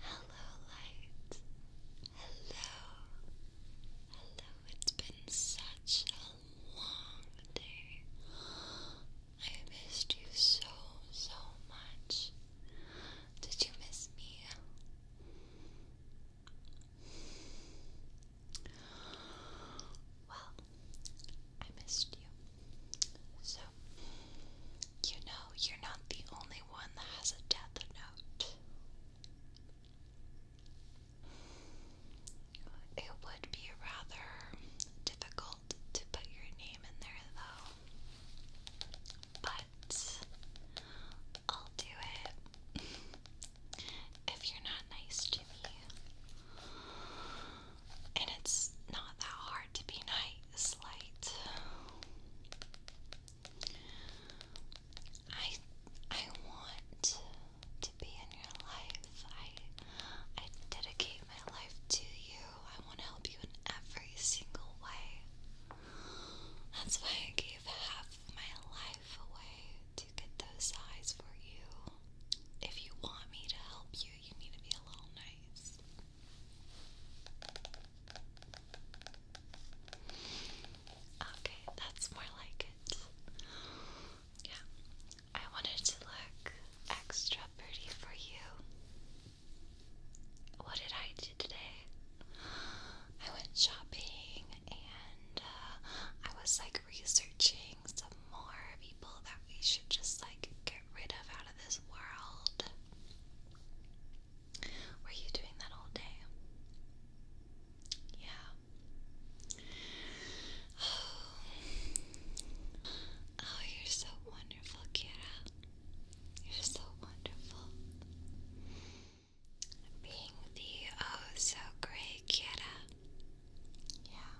Hello, light. Hello. Hello. It's been such a long day. I missed you so, so much. Did you miss me? Well, I missed you. So, you know, you're not the only one that has a death note. It would be rather difficult to put your name in there, though. But I'll do it if you're not nice to me. And it's not that hard to be nice, light. I I want to be in your life. I I dedicate my life to you. I want to help you in every single way. That's why I gave half of my life away to get those eyes for you. If you want me to help you, you need to be a little nice. Okay, that's more like it. Yeah, I wanted to look extra pretty for you. What did I do today? I went shopping and uh, I was like researching some more people that we should just like go get rid of out of this world. Were you doing that all day? Yeah. Oh, oh you're so wonderful, Kira. You're so wonderful. Being the oh so great Kira. Yeah.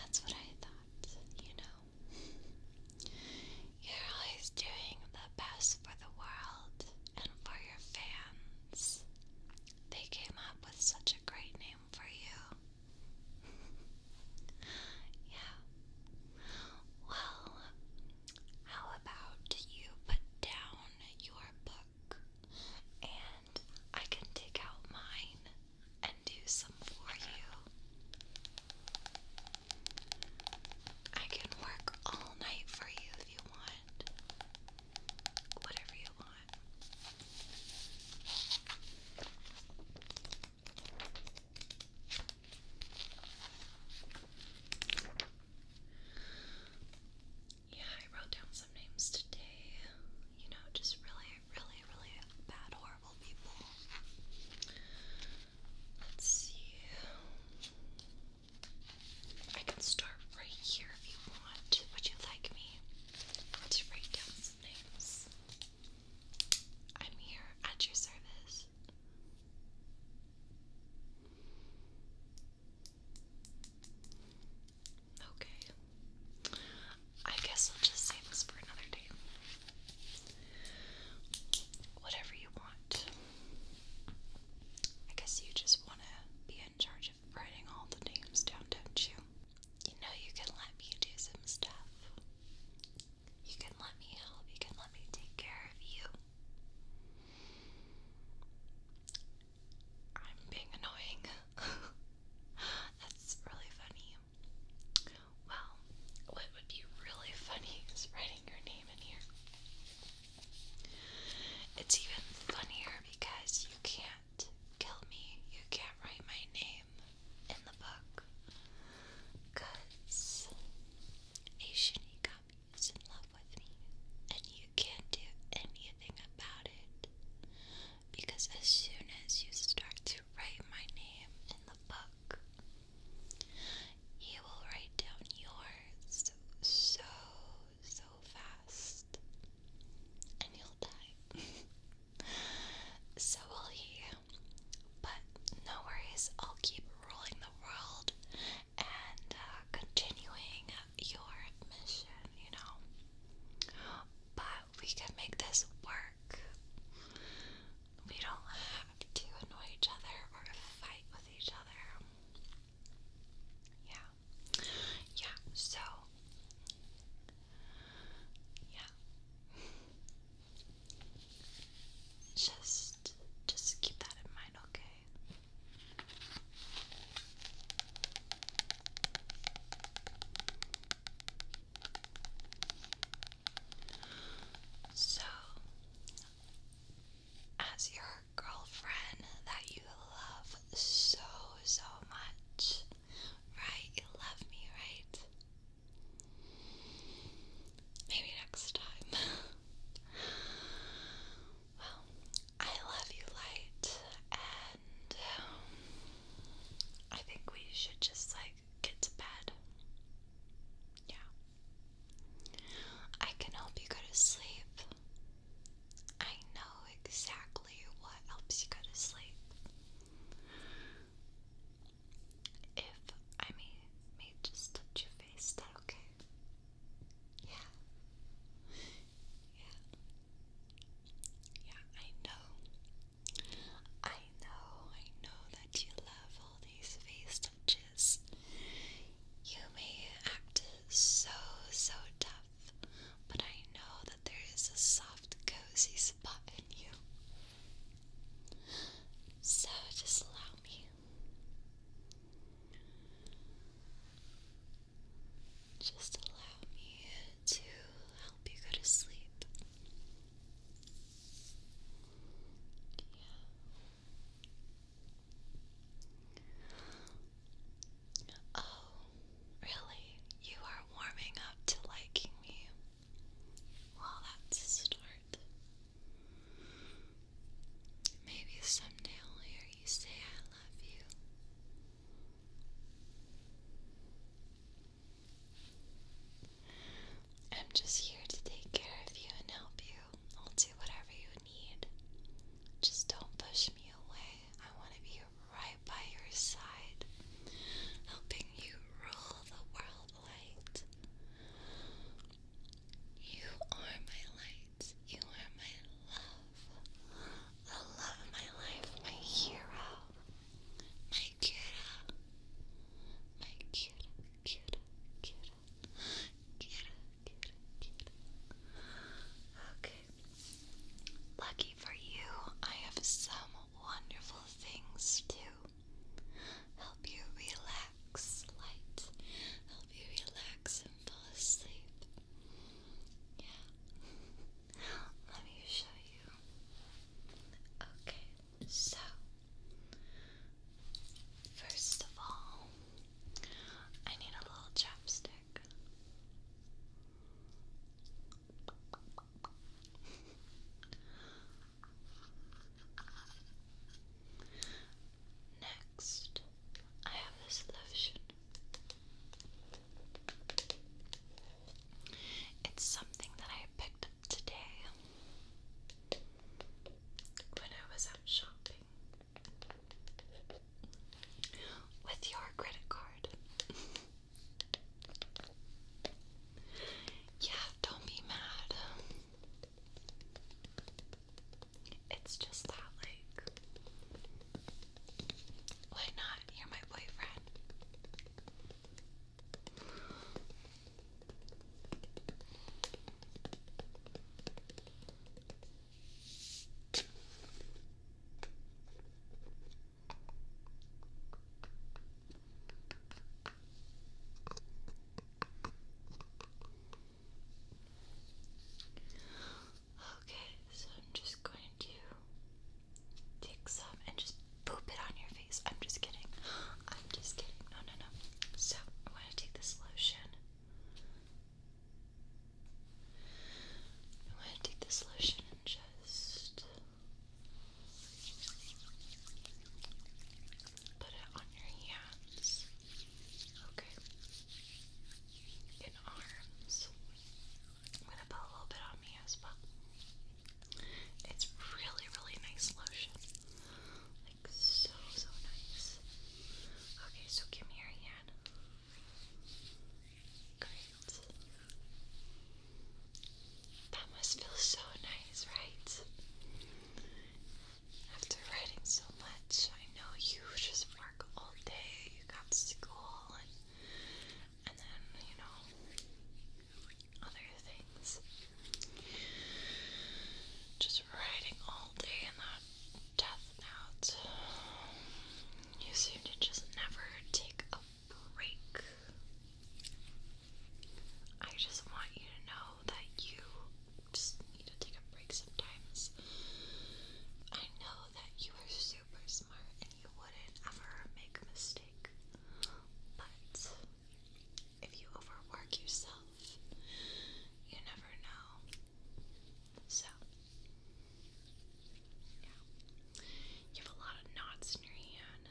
That's what I thought, you know. You're always doing the best for the world and for your fans. They came up with such a great name for you. yeah. Well, how about you put down your book and I can take out mine and do some for you. I can work all night for you if you want. Whatever you want. Yeah, I wrote down names today. You know, just really, really, really bad, horrible people. Let's see. I can start right here if you want. Would you like me to write down some names? I'm here at your service. Okay. I guess I'll just save this for another day. Whatever you want. I guess you just want to be in charge of writing all the names down, don't you? You know, you can let me do some stuff. You can let me help. You can let me take care of you. I'm being annoying. That's really funny. Well, what would be really funny is writing your name in here. It's even funnier because you can't kill me. You can't write my name in the book. Because Aishinigami is in love with me, and you can't do anything about it because as soon as you start to write my name in the book, you will write down yours so, so fast, and you'll die. so will he. But no worries, I'll keep ruling the world and uh, continuing your mission, you know. But we can make this work. We don't have to annoy each other or fight with each other. Yeah. Yeah, so. Yeah. Just just keep that in mind, okay? So, as your girlfriend that you love so, so much, right? You love me, right? Maybe next time. well, I love you, Light, and um, I think we should just like get to bed. Yeah. I can help you go to sleep. I know exactly what helps you go to sleep. If I may, may just touch your face, is that okay? Yeah. Yeah. Yeah, I know. I know, I know that you love all these face touches. You may act so, so tough, but I know that there is a soft, cozy spot in you. So just allow me. Just allow me to help you go to sleep. Oh, really? You are warming up to liking me. Well, that's a start. Maybe someday I'll hear you say I love you. I'm just here to take care of you and help you. I'll do whatever you need. Just don't push me away. I want to be right by your side, helping you rule the world light. You are my light. You are my the love of my life, my hero, my kiddo, my kiddo, kiddo, kiddo, kiddo, kiddo, Okay. Lucky for you, I have some wonderful things to help you relax, light, help you relax and fall asleep. Yeah. Let me show you. Okay, so first of all, I need a little chapstick. Next, I have this lotion. It's something that I picked up today when I was out shopping with your credit card. yeah, don't be mad. It's just that, like, why not? You're my boyfriend. Okay, so I'm just going to take some and just poop it on your face. I'm just kidding. I'm just kidding. No, no, no. So I want to take this lotion. I want to take this lotion and just put it on your hands. Okay. In arms. I'm gonna put a little bit on me as well. It's really, really nice lotion. Like so, so nice. Okay, so give me your hand. Great. That must feel so nice, right? After writing so much, I know you just work all day. You got school and then, you know, other things. Just writing all day in that death note. You seem to just never take a break. I just want you to know that you just need to take a break sometimes. I know that you are super smart and you wouldn't ever make a mistake. But if you overwork yourself, you never know. So, yeah. You have a lot of knots in your hand.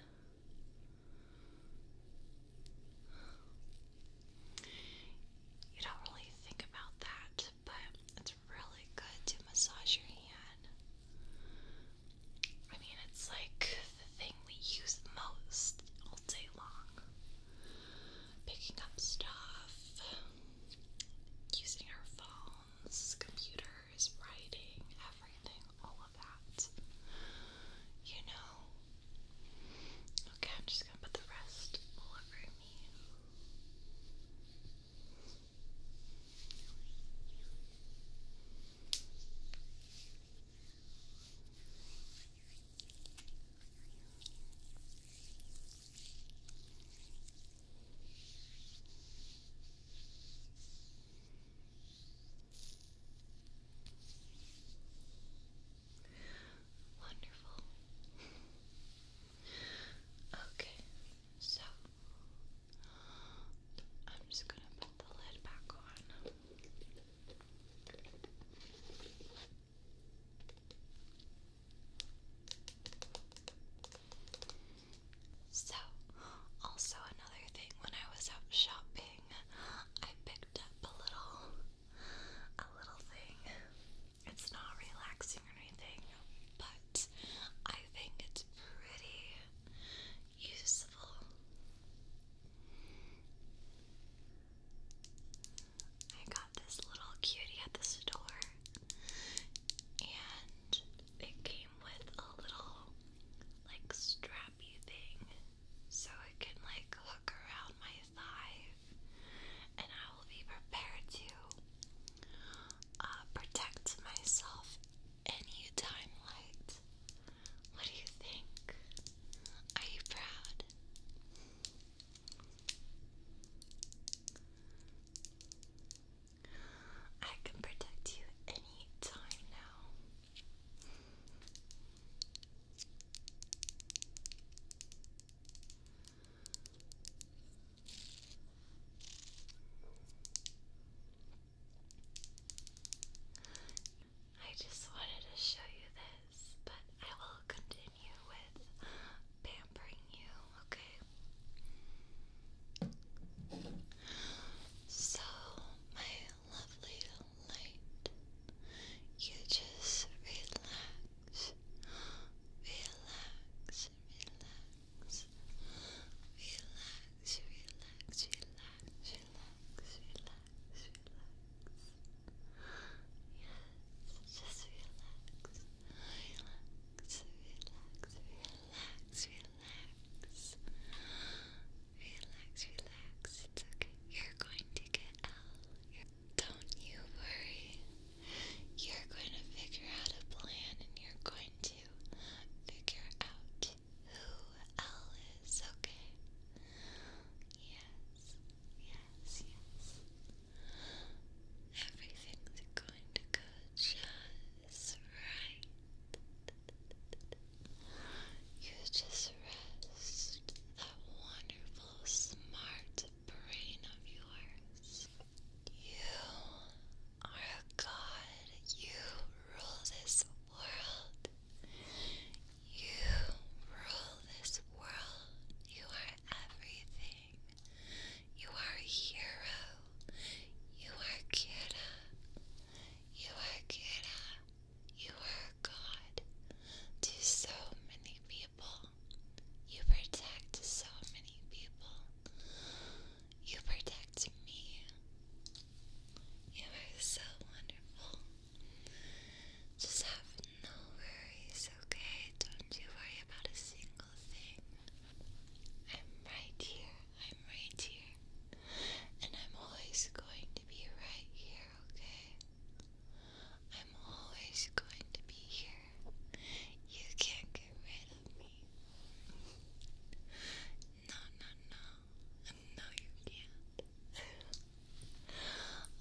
You don't really think about that but it's really good to massage your hand. I mean, it's like the thing we use most all day long. Picking up stuff, using our phones, computers, writing, everything, all of that. You know? Okay, I'm just gonna put the rest all over me. Wonderful. okay, so I'm just gonna put the lid back on. So, also another thing when I was out shopping, I picked up a little a little thing it's not relaxing or anything, but I think it's pretty useful. I got this little cutie at the store, and it came with a little like strappy thing so it can like hook around my thigh, and I will be prepared to uh, protect myself any time light. What do you think? Are you proud? I can protect you any time now. I just wanted to show you this, but I will continue with pampering you, okay? So, my lovely light, you just relax, relax, relax, relax, relax, relax, relax, relax, relax. Yes, just relax, relax, relax, relax, relax. Relax, relax. It's okay. You're going to get L. You're don't you worry. You're going to figure out a plan and you're going to figure out who L okay? Yes, yes, yes. Everything's going to go just right. You just rest that wonderful, smart brain of yours. You are a god. You rule this world. You rule this world. You are everything. You are a hero. You are Kira. You are Kira. You are God to so many people. You protect so many people. You protect me. You are so wonderful. Just have no worries, okay? Don't you worry about a single thing. I'm right here. I'm right here. And I'm always going to be right here, okay? I'm always going to be here. You can't get rid of me. No, no, no. No, you can't.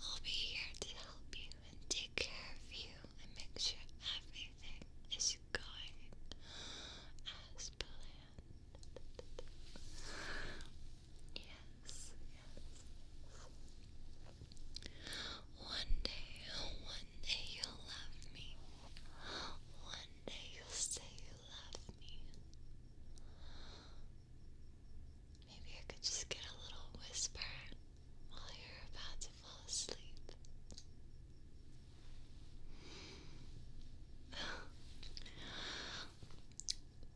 I'll be here to help you and take care of you and make sure everything is going as planned. Yes, yes. One day, one day you'll love me. One day you'll say you love me. Maybe I could just get a little whisper while you're about to fall asleep.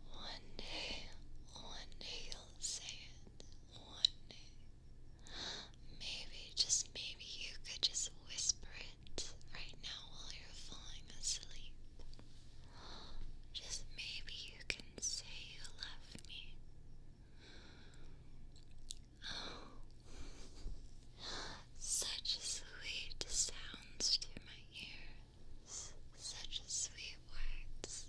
one day, one day you'll say it. One day, Maybe, just maybe, you could just whisper it right now while you're falling asleep. Just maybe you can say you love me. Oh, such sweet sounds to my ears, such sweet words,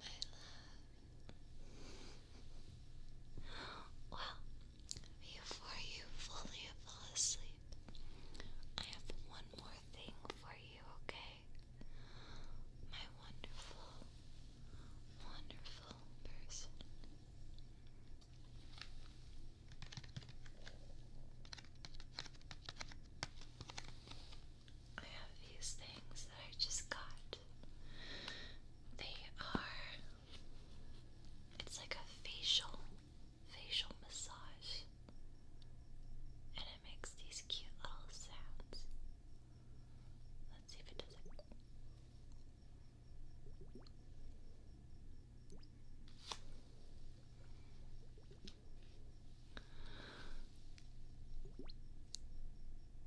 my love. Well, before you fully fall asleep, I have one more thing for you, okay? My wonderful, wonderful person. I have these things that I just got. They are. It's like a facial, facial massage, and it makes these cute little sounds. Let's see if it does it.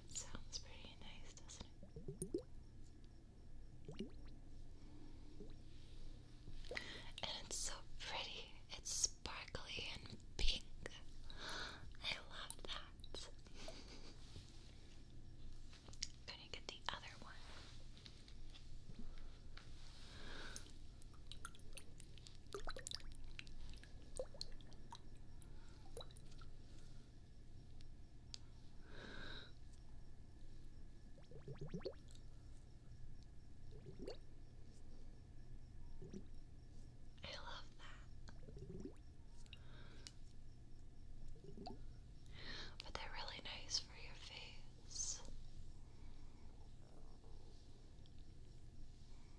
It sounds pretty nice, doesn't it? And it's so pretty. It's sparkly and pink. I love that. gonna get the other one. I love that. But they're really nice for your face.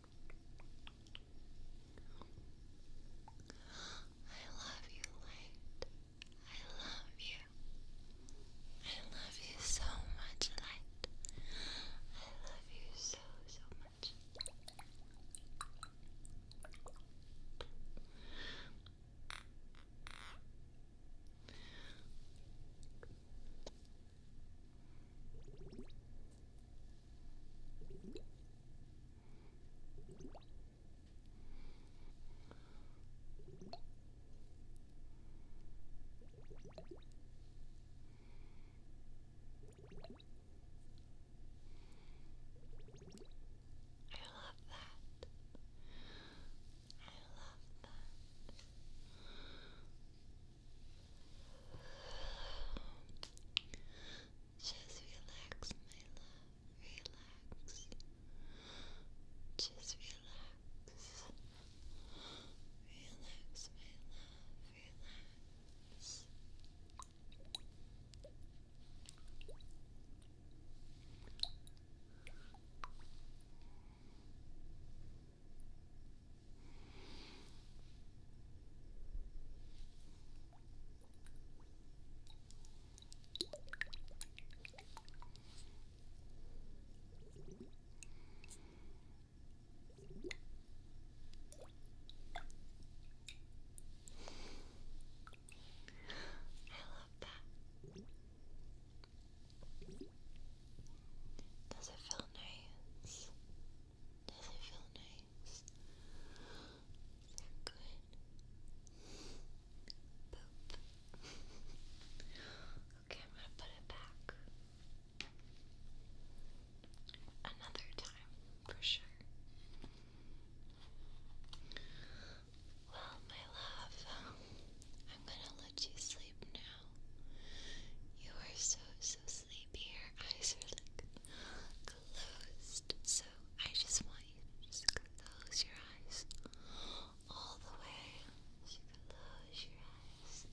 I love you, light. I love you. I love you so much, light. I love you so, so much love that. I love that. Just relax, my love. Relax. Just relax. Relax, my love. Relax. Just relax, love that. Does it feel nice? Does it feel nice? Is good? okay, I'm gonna put it back. Another time, for sure. Well, my love, I'm gonna let you sleep now. You are so, so, sleep here. Eyes are like closed, so I just want you to close your eyes all the way. close your eyes.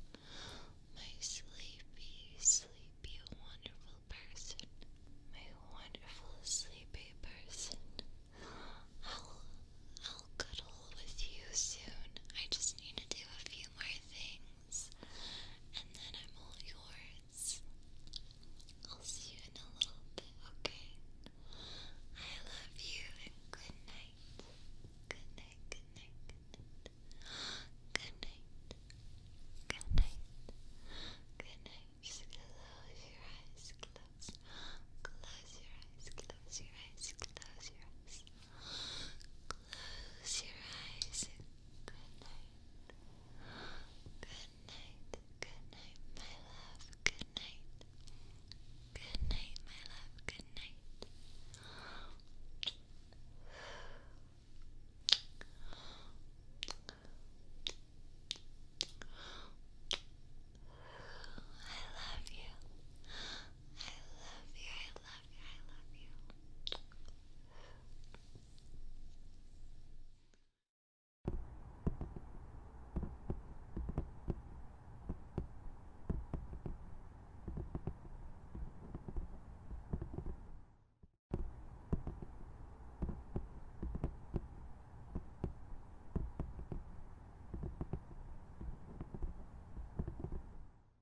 My sleepy, sleepy, wonderful person. My wonderful, sleepy person. I'll, I'll cuddle with you soon. I just need to do a few more things and then I'm all yours. I'll see you in a little bit, okay? I love you and good night. Good night, good night, good night. Good night. Good night. Just close your eyes. Close. Close your eyes. Close your eyes. Close your eyes. Close your eyes Good night. Good night. Good night, my love. Good night. Good night, my love. Good night. I love you. I love you. I love love I love you.